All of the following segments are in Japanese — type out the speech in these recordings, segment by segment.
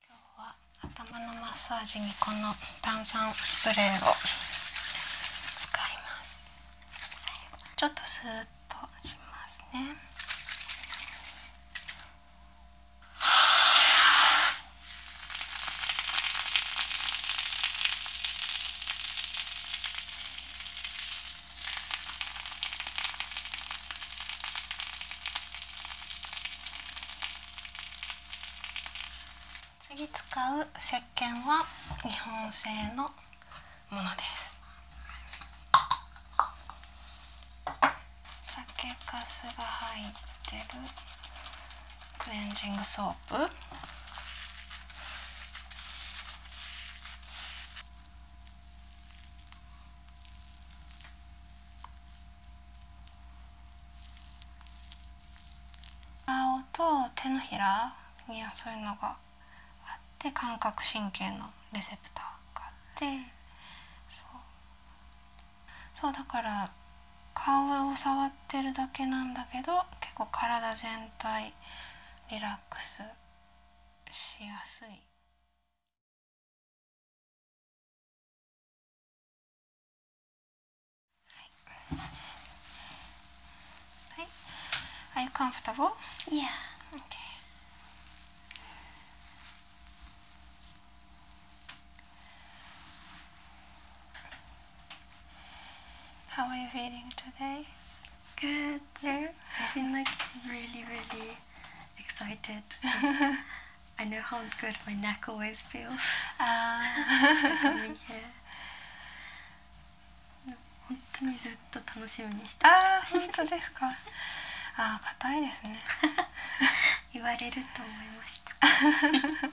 今日は頭のマッサージにこの炭酸スプレーを使いますちょっとスーッとしますね次使う石鹸は日本製のものです酒粕が入ってるクレンジングソープ顔と手のひらにはそういうのがあって感覚神経のレセプターがあってそうだから顔を触ってるだけなんだけど結構体全体リラックスしやすい。Right. Are you comfortable? Yeah. Okay. How are you feeling today? Good. Yeah? I feel like really, really excited. I know how good my neck always feels. Ah. coming here. 本当にずっと楽しみにしてますあ本当ですかあ硬いですね言われると思いました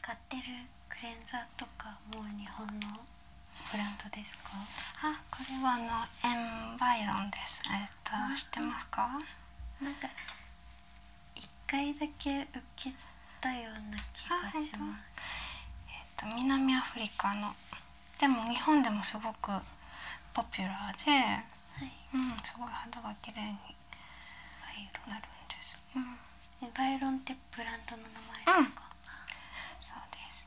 使ってるクレンザーとかもう日本のブランドですかあこれはあのエンバイロンですえっと知ってますかなんか一回だけ受けたような気がしますえっと南アフリカのでも日本でもすごくポピュラーで、はい、うんすごい肌が綺麗にバイロンってブランドの名前ですか、そうです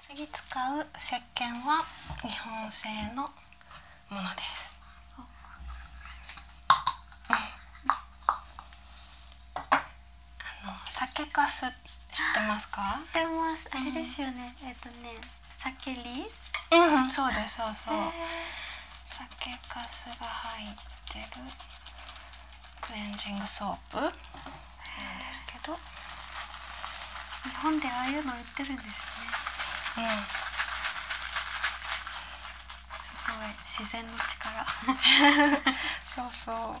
次使う石鹸は日本製のもの酒粕知ってますか？あれですよね。えっとね、酒り？そうですそうそう。酒粕が入ってるクレンジングソープですけど、日本でああいうの売ってるんですね。うん。すごい自然の力 そうそう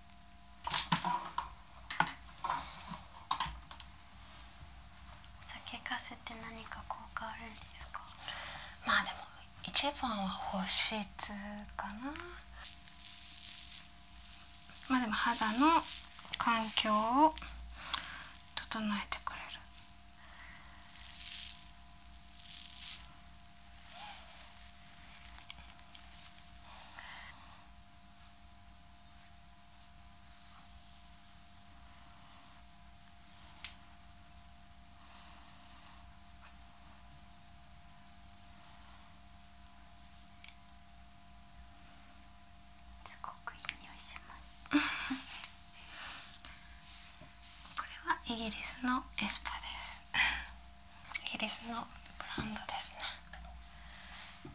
酒粕って何か効果あるんですかまあでも一番は保湿かなまあでも肌の環境を整えてくれるすごくいい匂いしますこれはイギリスのエスパですイギリスのブランドですね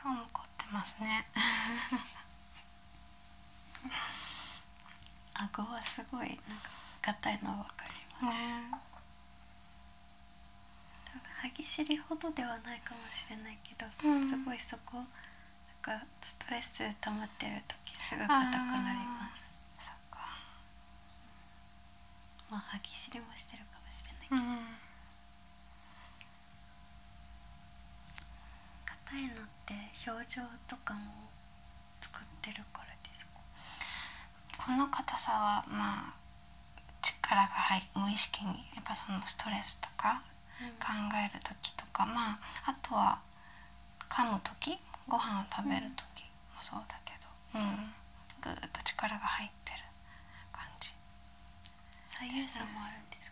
顔も凝ってますね 顎はすごいなんか硬いのは分かりますね歯ぎしりほどではないかもしれないけど、すごいそこなんかストレス溜まってる時すぐ硬くなりますそっかまあ歯ぎしりもしてるかもしれないけど、うん、硬いのって表情とかも作ってるからですかこの硬さはまあ力が入無意識にやっぱそのストレスとか考える時とか、まああとは噛む時ご飯を食べる時もそうだけど、うん、ぐっと力が入ってる感じ。左右差もあるんです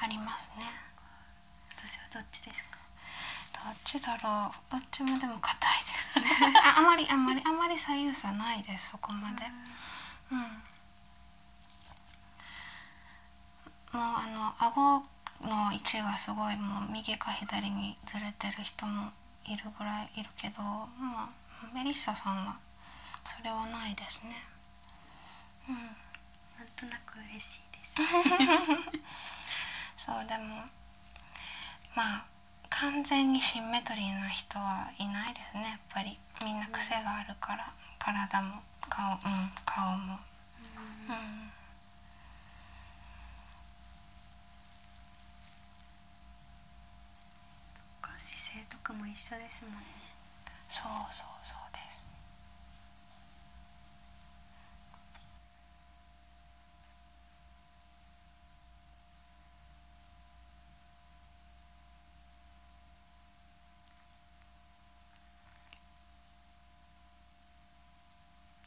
ありますね。私はどっちですかどっちだろうどっちもでも硬いです ああまりあまりあまり左右差ないですそこまで。うんもうあの顎の位置がすごいもう右か左にずれてる人もいるぐらいいるけど、まあ、メリッサさんはそれはないですね。うん、なんとなく嬉しいです そうでもまあ完全にシンメトリーな人はいないですねやっぱりみんな癖があるから体も顔,、うん、顔も。うん、姿勢とかも一緒ですもんねそうそうそうです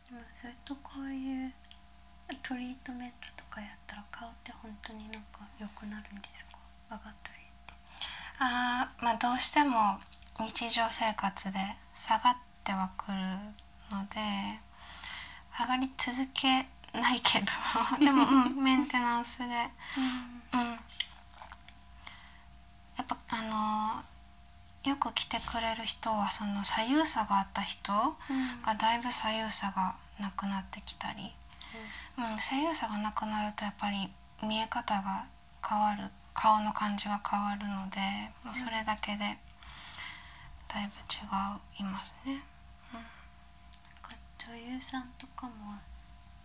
でもそれとこういうトリートメントとかやったら顔って本当になんか良くなるんですかああまあどうしても日常生活で下がってはくるので上がり続けないけど でも、うん、メンテナンスで、うん、やっぱあのよく来てくれる人はその左右差があった人がだいぶ左右差がなくなってきたり、うん、左右差がなくなるとやっぱり見え方が変わる顔の感じは変わるのでもうそれだけでだいぶ違いますね。うんか女優さんとかも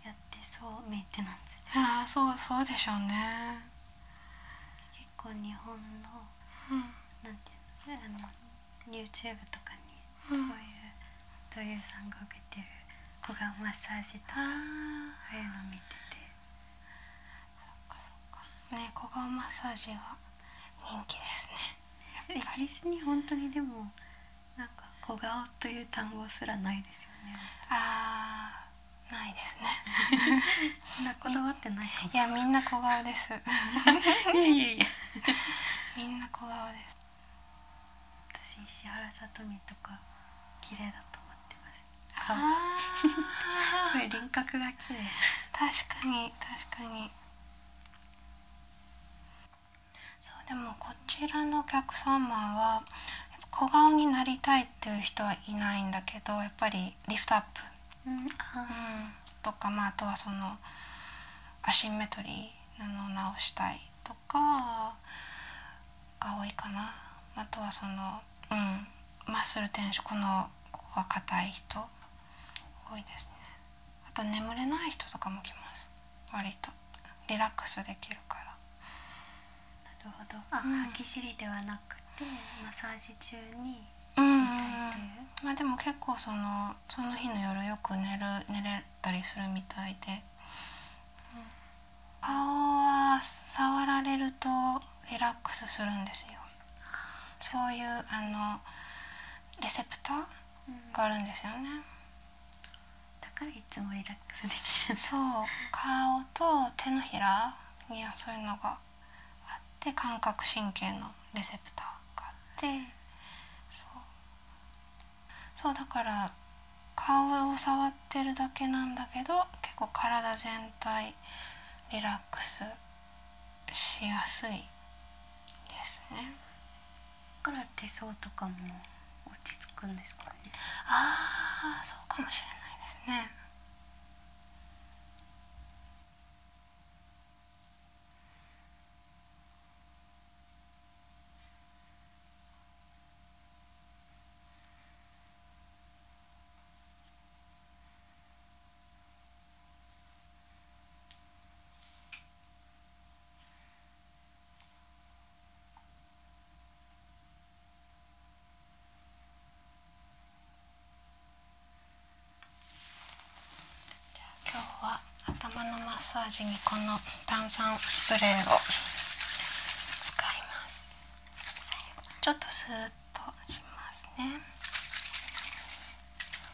やってそうメンテナンスああそうそうでしょうね結構日本の、なんていうのあの YouTube とかにそういう女優さんが受けてる小顔マッサージとか、ああいうの見ててそっかそっかね小顔マッサージは人気ですねイギ リスに本当にでもなんか小顔という単語すらないですよねあーないですねみんなこだわってないいやみんな小顔です いいみんな小顔です私石原さとみとか綺麗だと思ってます顔あすご輪郭が綺麗確かに確かにそうでもこちらのお客様は小顔になりたいっていう人はいないんだけどやっぱりリフトアップ、うんとか、まあ、とはそのアシンメトリーなのを直したいとかが多いかなあとはその、うん、マッスル転職このここが硬い人多いですね。あと眠れない人とかも来ます割とリラックスできるからなるほどあ、歯ぎしりではなくてマッサージ中にうん、いん、までも結構その日の夜よく寝る寝れたりするみたいで、顔は触られるとリラックスするんですよそういうあのレセプターがあるんですよね、だからいつもリラックスできるそう顔と手のひらにはそういうのがあって感覚神経のレセプターがあってそうだから顔を触ってるだけなんだけど結構体全体リラックスしやすいですね。から手相とかも落ち着くんですかねああそうかもしれないですねあ今日は頭のマッサージにこの炭酸スプレーを使いますちょっとスーッとしますね。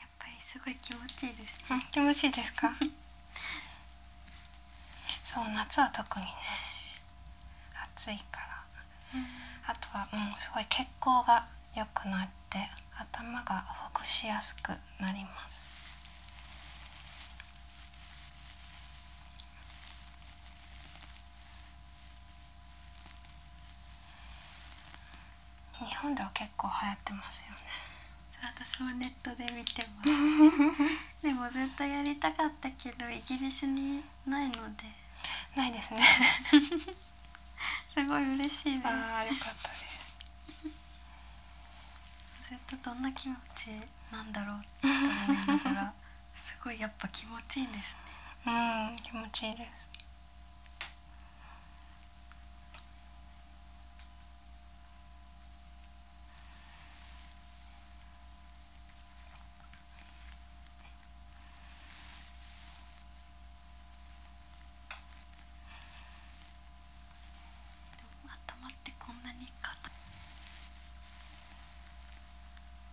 やっぱりすごい気持ちいいですね気持ちいいですか そう夏は特にね暑いから、あとはうすごい血行が良くなって頭がほぐしやすくなります日本では結構流行ってますよね私もネットで見てます でもずっとやりたかったけどイギリスにないのでないですね すごい嬉しいですあーよかっですずっとどんな気持ちなんだろうって思いながらすごいやっぱ気持ちいいですねうん気持ちいいです頭ってこんなに硬い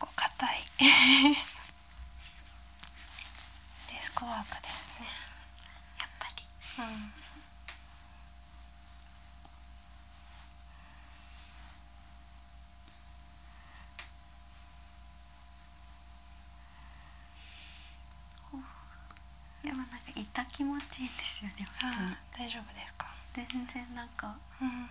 ここ硬い デスクワークですねやっぱりうんでもなんか痛気持ちいいんですよねああ大丈夫ですか全然なんかうん、うん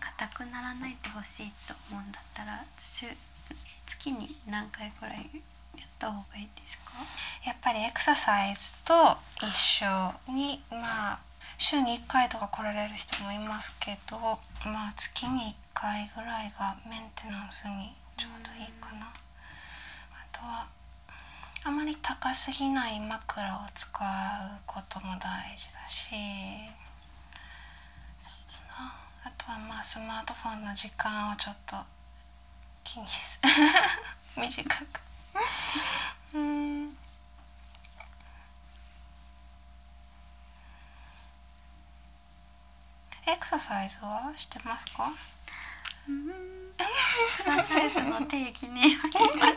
か硬くならないでほしいと思うんだったら週月に何回ぐらいやった方がいいですかやっぱりエクササイズと一緒にまあ週に1回とか来られる人もいますけどまあ月に1回ぐらいがメンテナンスにちょうどいいかな。あとはあまり高すぎない枕を使うことも大事だしそうだなあとはまあスマートフォンの時間をちょっと気に 短くうんエクササイズはしてますかエクササイズの定義によります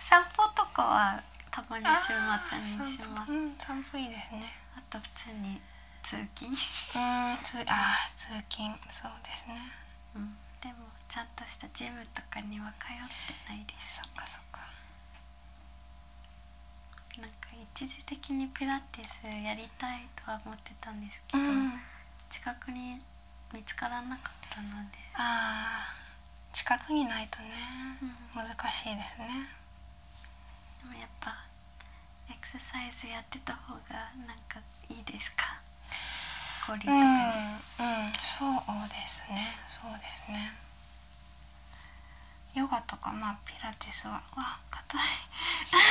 散歩とかはたまに週末にしますうん散いいですねあと普通に通勤通勤そうですねうんでもちゃんとしたジムとかには通ってないですそっかそっかなんか一時的にピラティスやりたいとは思ってたんですけど、近くに見つからなかったのでああ近くにないとね、難しいですねでもやっぱエクササイズやってた方がなんかいいですか交流とかねうん、そうですねそうですねヨガとかまあピラティスはわ硬い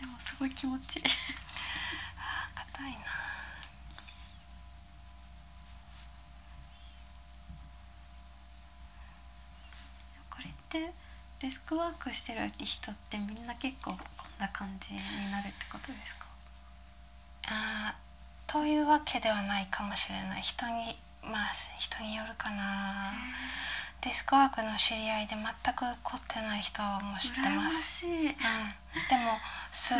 でもすごい気持ちいいああ、硬いなこれってデスクワークしてる人ってみんな結構こんな感じになるってことですかあというわけではないかもしれない人にまあ人によるかなデスクワークの知り合いで全く凝ってない人も知ってます。うん、でもす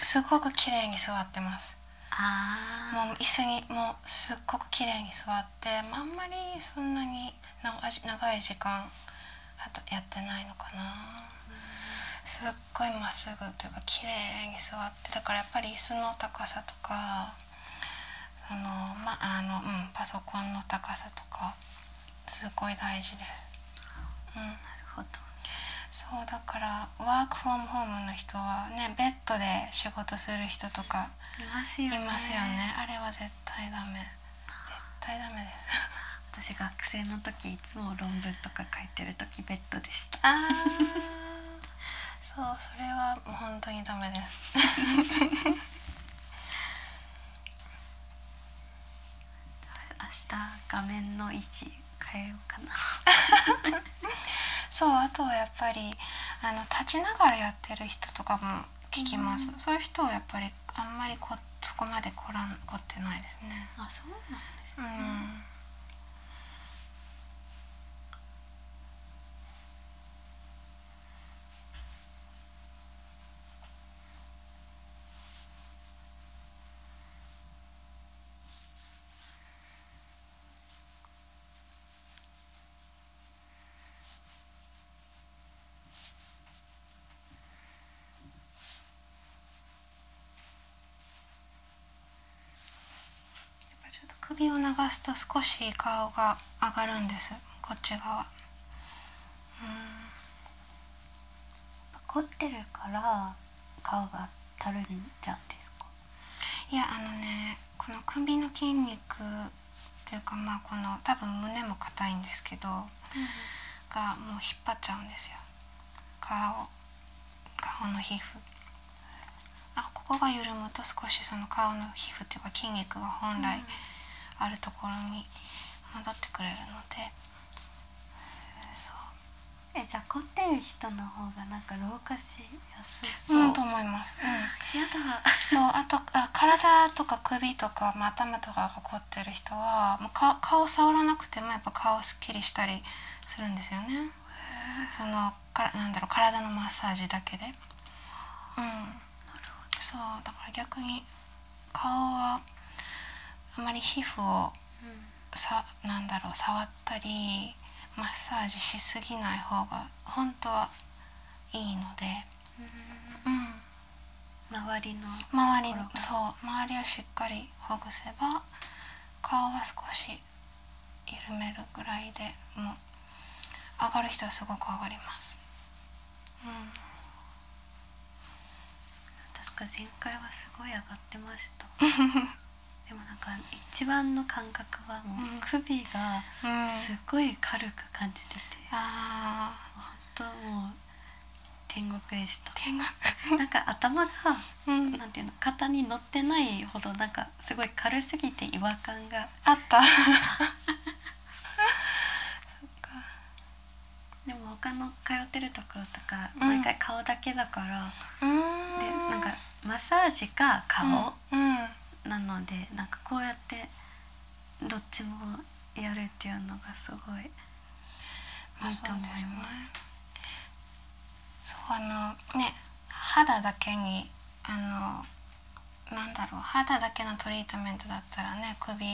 すごく綺麗に座ってますあもう椅子にもうすっごく綺麗に座ってあんまりそんなに長い時間やってないのかなすっごいまっすぐというか綺麗に座ってだからやっぱり椅子の高さとかあのまあのうんパソコンの高さとかすごい大事です。うん、なるほどそうだからワークフォームホームの人はねベッドで仕事する人とかいますよね、あれは絶対ダメ絶対ダメです 私学生の時いつも論文とか書いてる時ベッドでしたあそうそれはもう本当にダメです 明日画面の位置変えようかなそうあとはやっぱりあの立ちながらやってる人とかも聞きます、そういう人はやっぱりあんまりこそこまでこらん凝ってないですねあそうなんですね、うんぱちょっと首を流すと少し顔が上がるんですこっち側うん凝ってるから顔がたるんじゃんですかいやあのねこの首の筋肉っていうかまあこの多分胸も硬いんですけど、がもう引っ張っちゃうんですよ顔顔の皮膚あここが緩むと少しその顔の皮膚っていうか筋肉が本来あるところに戻ってくれるので、そうえじゃ凝ってる人の方がなんか老化しやすそう、と思います、うん、嫌だそうあとあ体とか首とか、まあ、頭とかが凝ってる人はもうか顔触らなくてもやっぱ顔すっきりしたりするんですよねそのからなんだろう体のマッサージだけでうんそうだから逆に顔はあまり皮膚を、うんさなんだろう触ったりマッサージしすぎない方が本当はいいので、周りの周りそう周りをしっかりほぐせば顔は少し緩めるぐらいでもう上がる人はすごく上がります。うん確か前回はすごい上がってました でもなんか一番の感覚はもう首がすごい軽く感じてて、うああ本当もう天国でした天国なんか頭が、何ていうの肩に乗ってないほどなんかすごい軽すぎて違和感があった そっかでも他の通ってるところとか、毎回顔だけだからでなんかマッサージか顔、なのでなんかこうやってどっちもやるっていうのがすごいあった。思います。うあのね肌だけにあのなんだろう肌だけのトリートメントだったらね首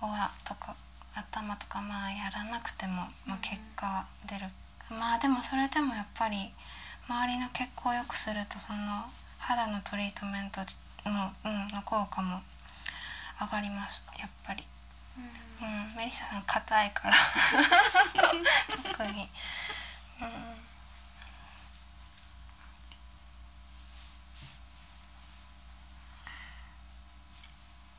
はとか頭とかまあやらなくても、ま結果出る、まあでもそれでもやっぱり周りの血行を良くするとその肌のトリートメントの,、効果も上がりますやっぱり。うん、メリッサさん硬いから特に、うん、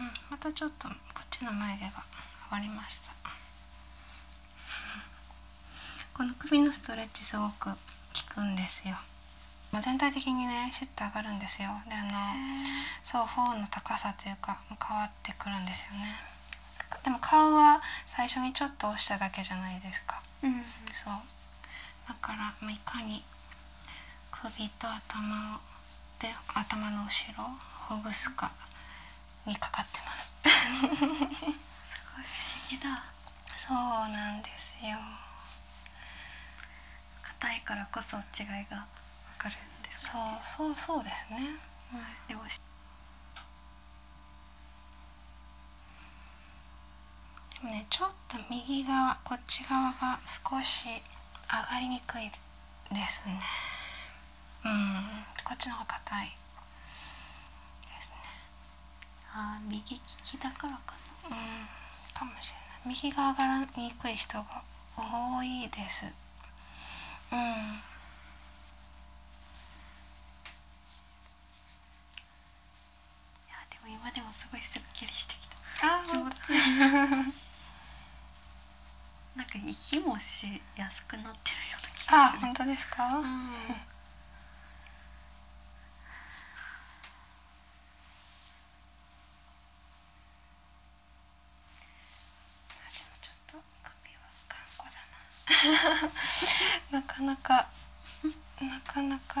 うん、またちょっとこっちの眉毛が上がりましたこの首のストレッチすごく効くんですよま全体的にねシュッと上がるんですよであのそうの高さというか変わってくるんですよねでも顔は最初にちょっと押しただけじゃないですか、そうだから、まいかに首と頭をで頭の後ろほぐすかにかかってます そうなんですよ硬いからこそ違いがでそうそうそうですね、もねちょっと右側こっち側が少し上がりにくいですねうんこっちの方が硬いですねあ右利きだからかうんかもしれない右ががらにくい人が多いですうんいやでも今でもすごいすっきりしてきたあ気持ちいいなんか息もしやすくなってるような気がすあ本当ですか、もちょっと髪は頑固だな なかなかなかなか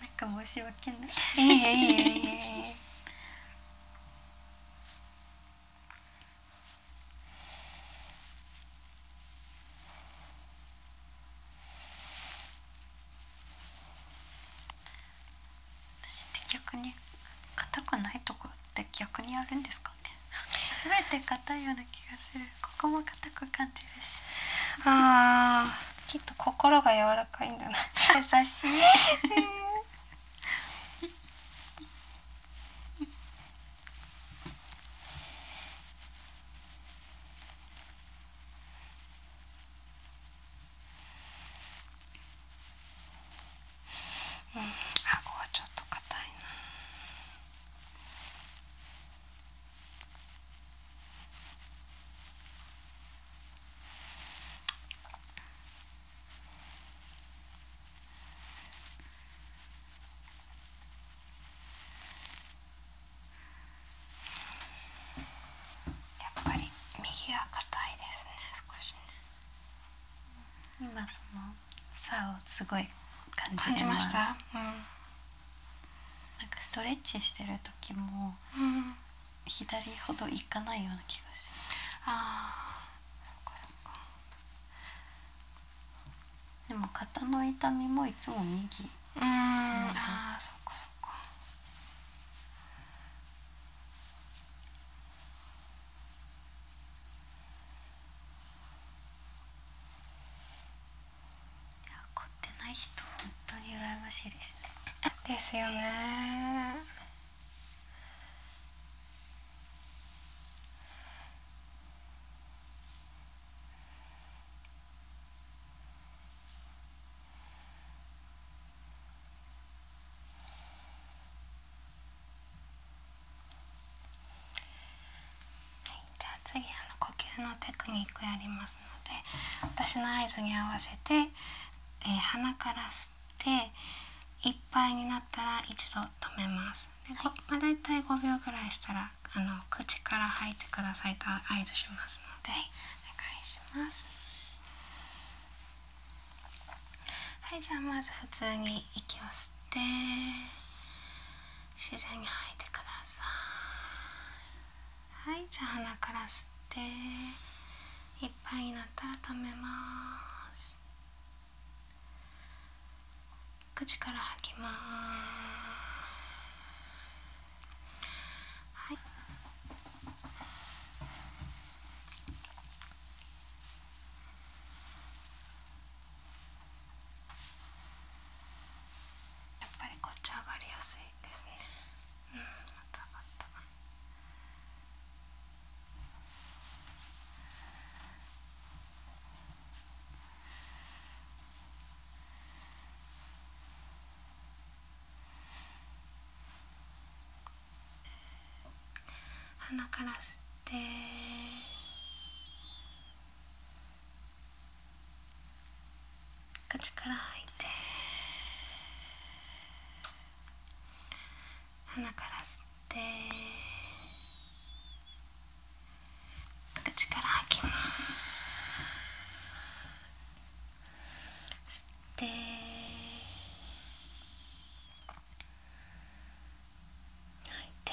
なんか申し訳ないいいえいいえいいえ私って逆に硬くないところっ逆にあるんですかね 全て硬いような気がするここも硬く感じるしああきっと心が柔らかいんだな 優しい うん、顎はちょっと硬いな。やっぱり右が硬いですね少しね今その差をすごい感じ感じました、うなんかストレッチしてる時も左ほどいかないような気がしますああそっかそっかでも肩の痛みもいつも右うんああそっかそっかいや凝ってない人本当に羨ましいですねですよねじゃあ次呼吸のテクニックやりますので私の合図に合わせて、鼻から吸っていっぱいになったら一度止めます。ますで、まあ、だいたい5秒ぐらいしたらあの口から吐いてくださいと合図しますので、お願いしますはいじゃあまず普通に息を吸って自然に吐いてくださいはいじゃあ鼻から吸っていっぱいになったら止めます口から吐きますはいやっぱりこっち上がりやすいですねうんまた鼻から吸って口から吐いて鼻から吸って口から吐きます吸って吐いて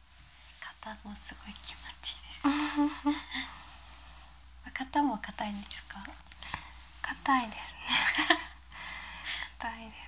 肩もすごい気持ちいいです 肩も硬いんですか硬いですね 硬いです